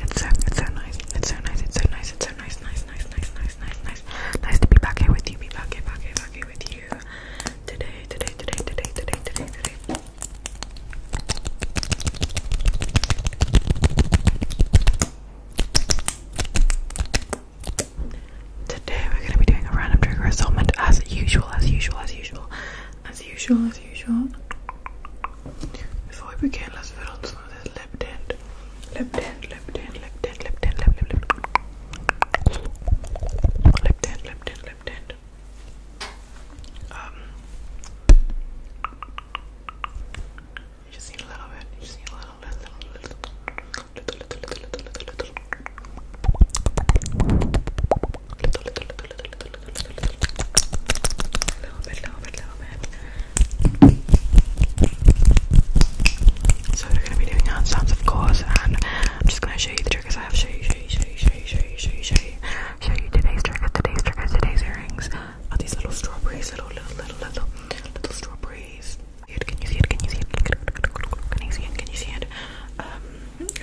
It's so, it's so nice. It's so nice. It's so nice. It's so nice. Nice, nice, nice, nice, nice, nice. Nice to be back here with you. Be back here, back here, back here with you. Today, today, today, today, today, today, today. Today we're gonna be doing a random trigger assortment as usual, as usual, as usual, as usual, before we begin, let's put on some of this lip tint. Lip tint, lip tint, lip tint, lip tint, lip lip lip. tint, lip tint, lip tint. just need a little bit. just need a little, little, little, little, little, little, little, little. little, little little, little, little, little, little, little, little, little, little bit, little bit, little bit. So we're gonna be doing hand sounds, of course, and I'm just gonna show you the triggers I have. Show you, show you, show you, show you, show you, show you, show you, show you today's triggers, today's triggers, today's earrings. Are these little strawberries? Little, little, little, little, little strawberries. Can you see it? Can you see it? Can you see it? Can you see it? Can you see it? Um,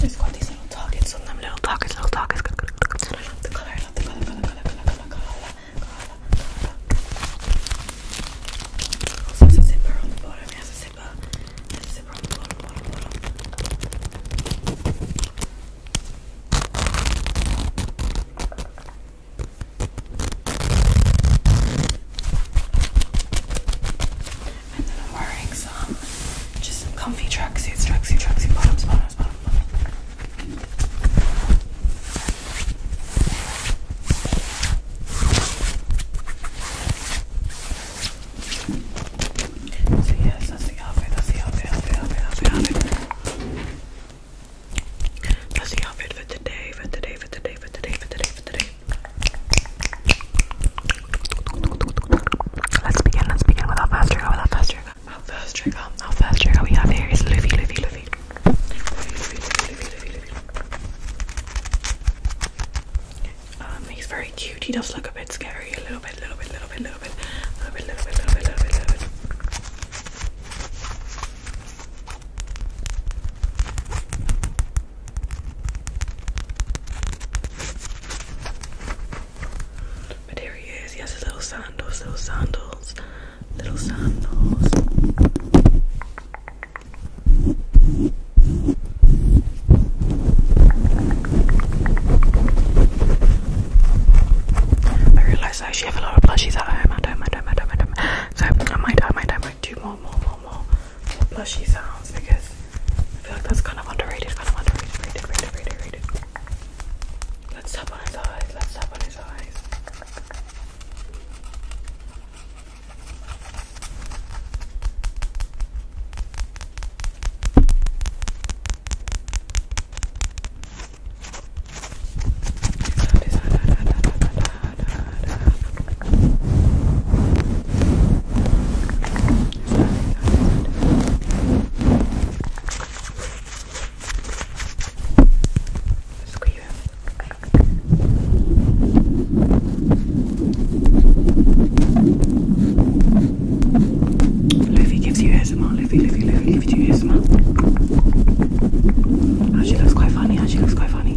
It's got these little targets on them, little targets, little targets. I love the colour, I love the colour, colour, colour, colour, colour, colour, colour. Also has a zipper on the bottom, it has a zipper, it has a zipper on the bottom, bottom, bottom. And then I'm wearing some just some comfy tracksuits, tracksuit, tracksuit bottoms, bottoms, bottoms. So yes, that's the outfit, that's the outfit, outfit, outfit, outfit, outfit. That's the outfit for today, for today, for today, for today, for today, for today. Let's begin, let's begin with our first trigger, with our first trigger, our first trigger, our first trigger we have here is Luffy, Luffy, Luffy. Luffy, Luffy, Luffy, Luffy, Luffy. Um, he's very cute, he does look a bit scary, a little bit, little bit, little bit, little bit, little bit, little bit, little bit, little bit, little bit. But here he is. Yes, has little sandals, little sandals, little sandals. I realise I actually have a lot of plushies at home. I don't, I don't, I don't, I don't. So I might, I might, I might do more, more, more, more plushy sounds because I feel like that's kind of underrated, kind of underrated, rated, rated, rated, Let's tap on his eyes, let's tap on his eyes. Livy gives you ASMR, Livy, Livy, Livy gives you ASMR. Oh, she looks quite funny, oh, she looks quite funny.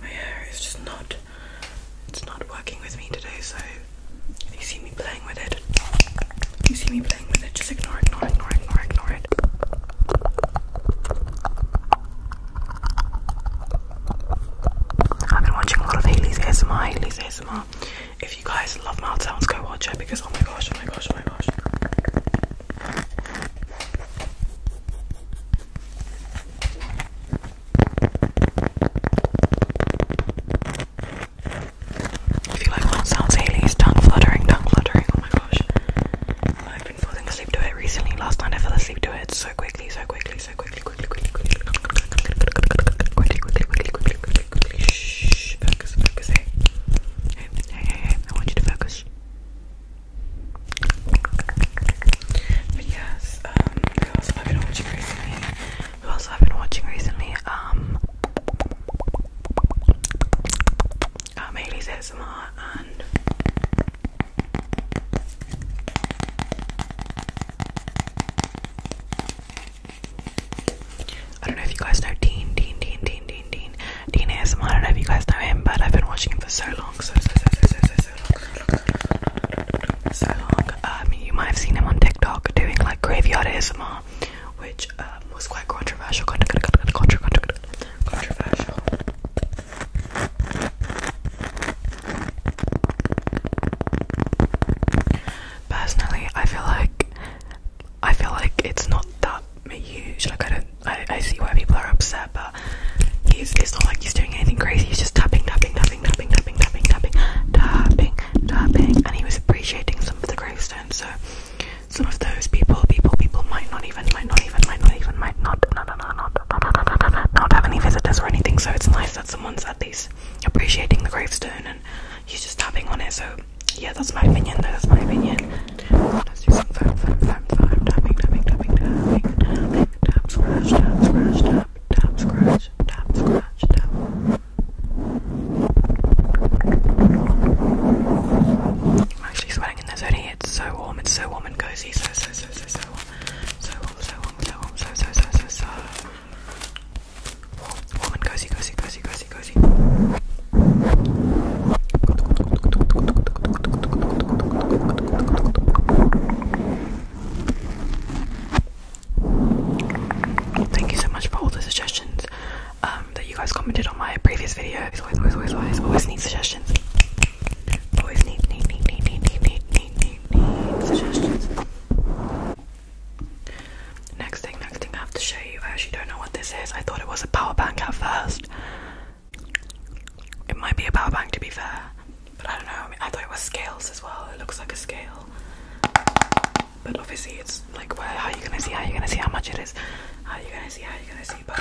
my hair is just not it's not working with me today, so if you see me playing with it, if you see me playing with it, just ignore it, ignore it, ignore it, ignore, it. I've been watching a lot of Haley's ASMR, Haley's ASMR. If you guys love mild sounds, go watch it because oh my gosh, oh my gosh, oh my gosh. If you like mild sounds, Haley's tongue fluttering, tongue fluttering. Oh my gosh, I've been falling asleep to it recently. Last night I fell asleep to it so quickly, so quickly, so quickly, quickly, quickly, quickly, quickly, quickly, quickly, quickly, quickly, quickly, Shh, focus, focus. Hey, hey, hey, I want you to focus. But um, who else have been watching recently? Who else have been watching recently? Um, um, Haley's ASMR and. I don't know if you guys know Dean, Dean, Dean, Dean, Dean, Dean, Dean ASMR. I don't know if you guys know him, but I've been watching him for so long, so, so, so, so, so, so long. So long. Um, you might have seen him on TikTok doing like graveyard ASMR, which um, was quite controversial. Controversial personally I feel like I feel like it's not that huge like I don't I, I see why people are upset but he's it's not like he's doing anything crazy he's just tapping tapping tapping tapping tapping tapping tapping tapping tapping and he was appreciating some of the gravestones so some of those people people people might not even might not even might not even might not not not not not have any visitors or anything so it's nice that someone's at least appreciating the gravestone and he's just tapping on it. So yeah, that's my opinion. That's my opinion. I'm actually sweating in this hoodie. It's so warm. It's so warm and cozy. So so so so so warm. So warm. So warm. So warm. So so so so so. Thank you so much for all the suggestions um, that you guys commented on my previous video. Always, always, always, always, always need suggestions. Next thing, next thing I have to show you. I actually don't know what this is. I thought it was a power bank at first. It might be a power bank to be fair, but I don't know. I, thought it was scales as well. It looks like a scale, but obviously it's like where? How are you gonna see? How are you gonna see how much it is? How are you gonna see? How are you gonna see? But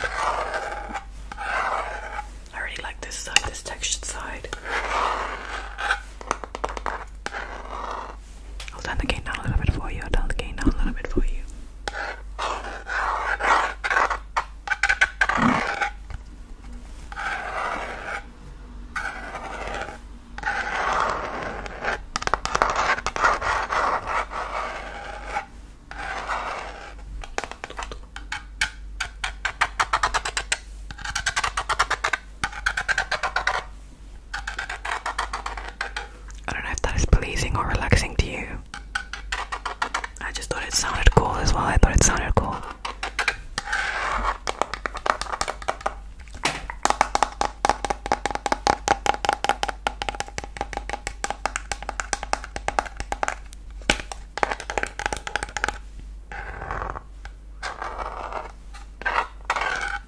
I really like this side, this textured side. I'll turn the game down a little bit for you. I'll turn the game down a little bit for you. I don't know if that is pleasing or relaxing to you. I just thought it sounded cool as well. I thought it sounded cool.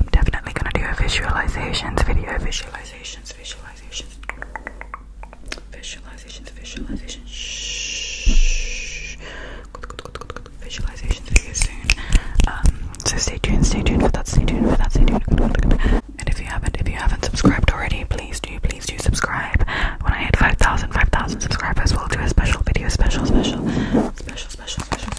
I'm definitely gonna do a visualizations video. Visualizations, visualizations, visualizations, visualizations. Shh. Good, good, good, good, good. Visualizations video soon. Um, so stay tuned, stay tuned for that. Stay tuned for that. Stay tuned. And if you haven't, if you haven't subscribed already, please do, please do subscribe. When I hit 5,000, 5,000 subscribers, we'll do a special video, special, special, special, special, special.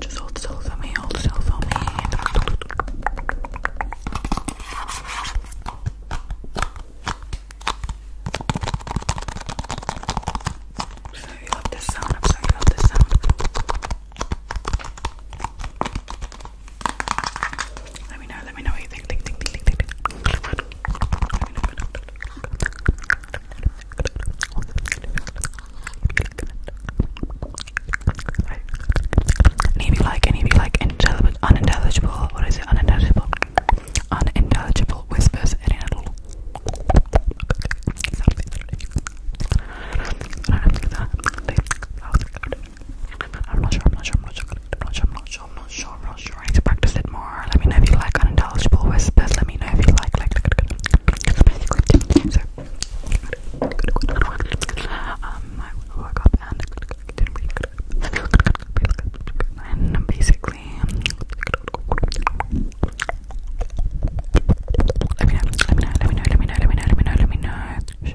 Just hold still for me, hold still for me. I'm so you love this sound, I'm so you love this sound. Let me know, let me know what you think. think, think, think, think, Let me know, Any of like, any of like unintelligible, unintelligible, what is it, unintelligible, unintelligible whispers, any at all? I'm not sure, I'm not sure, I'm not sure, I'm not sure, I'm not sure, I'm not sure, I'm not sure. I need to practice it more. Let me know if you like unintelligible whispers. Let me know if you like, like, so, um, I woke up and didn't breathe good. And basically, let me know, let me know, let me know, let me know, let me know, let me know, let me know.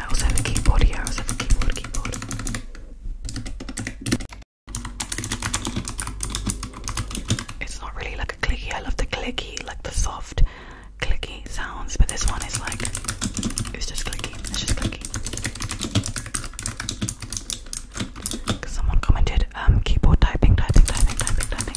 I also have a keyboard here. I also have a keyboard, keyboard. It's not really like a clicky. I love the clicky, like the soft clicky sounds, but this one is like it's just clicky. It's just clicky. Cause someone commented, um, keyboard typing, typing, typing, typing, typing.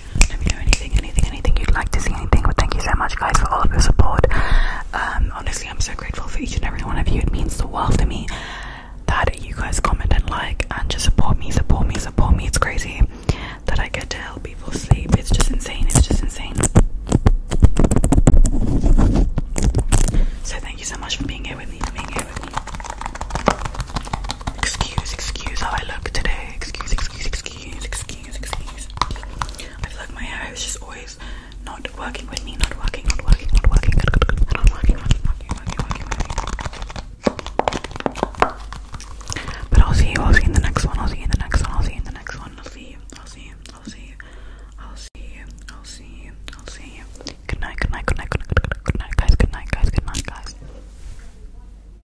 Let me know anything, anything, anything you'd like to see, anything. But thank you so much, guys, for all of your support. Um, honestly, I'm so grateful for each and every one of you. It means the world to me that you guys comment and like and just support me, support me, support me. It's crazy that I get to help people sleep. It's just insane. It's just insane. So thank you so much for being here with me, for being here with me. Excuse, excuse how I look today. Excuse, excuse, excuse excuse, excuse, excuse. I feel like my hair is just always not working with me, not working, not working, not working, not working, not working, working, working, working. But I'll see you, I'll see you in the next one, I'll see you in the next one, I'll see you in the next one, I'll see you, I'll see you, I'll see you, I'll see you, I'll see you, I'll see you. Good night, good night, good night, good night, good night, good night, guys, good night, guys, good night, guys.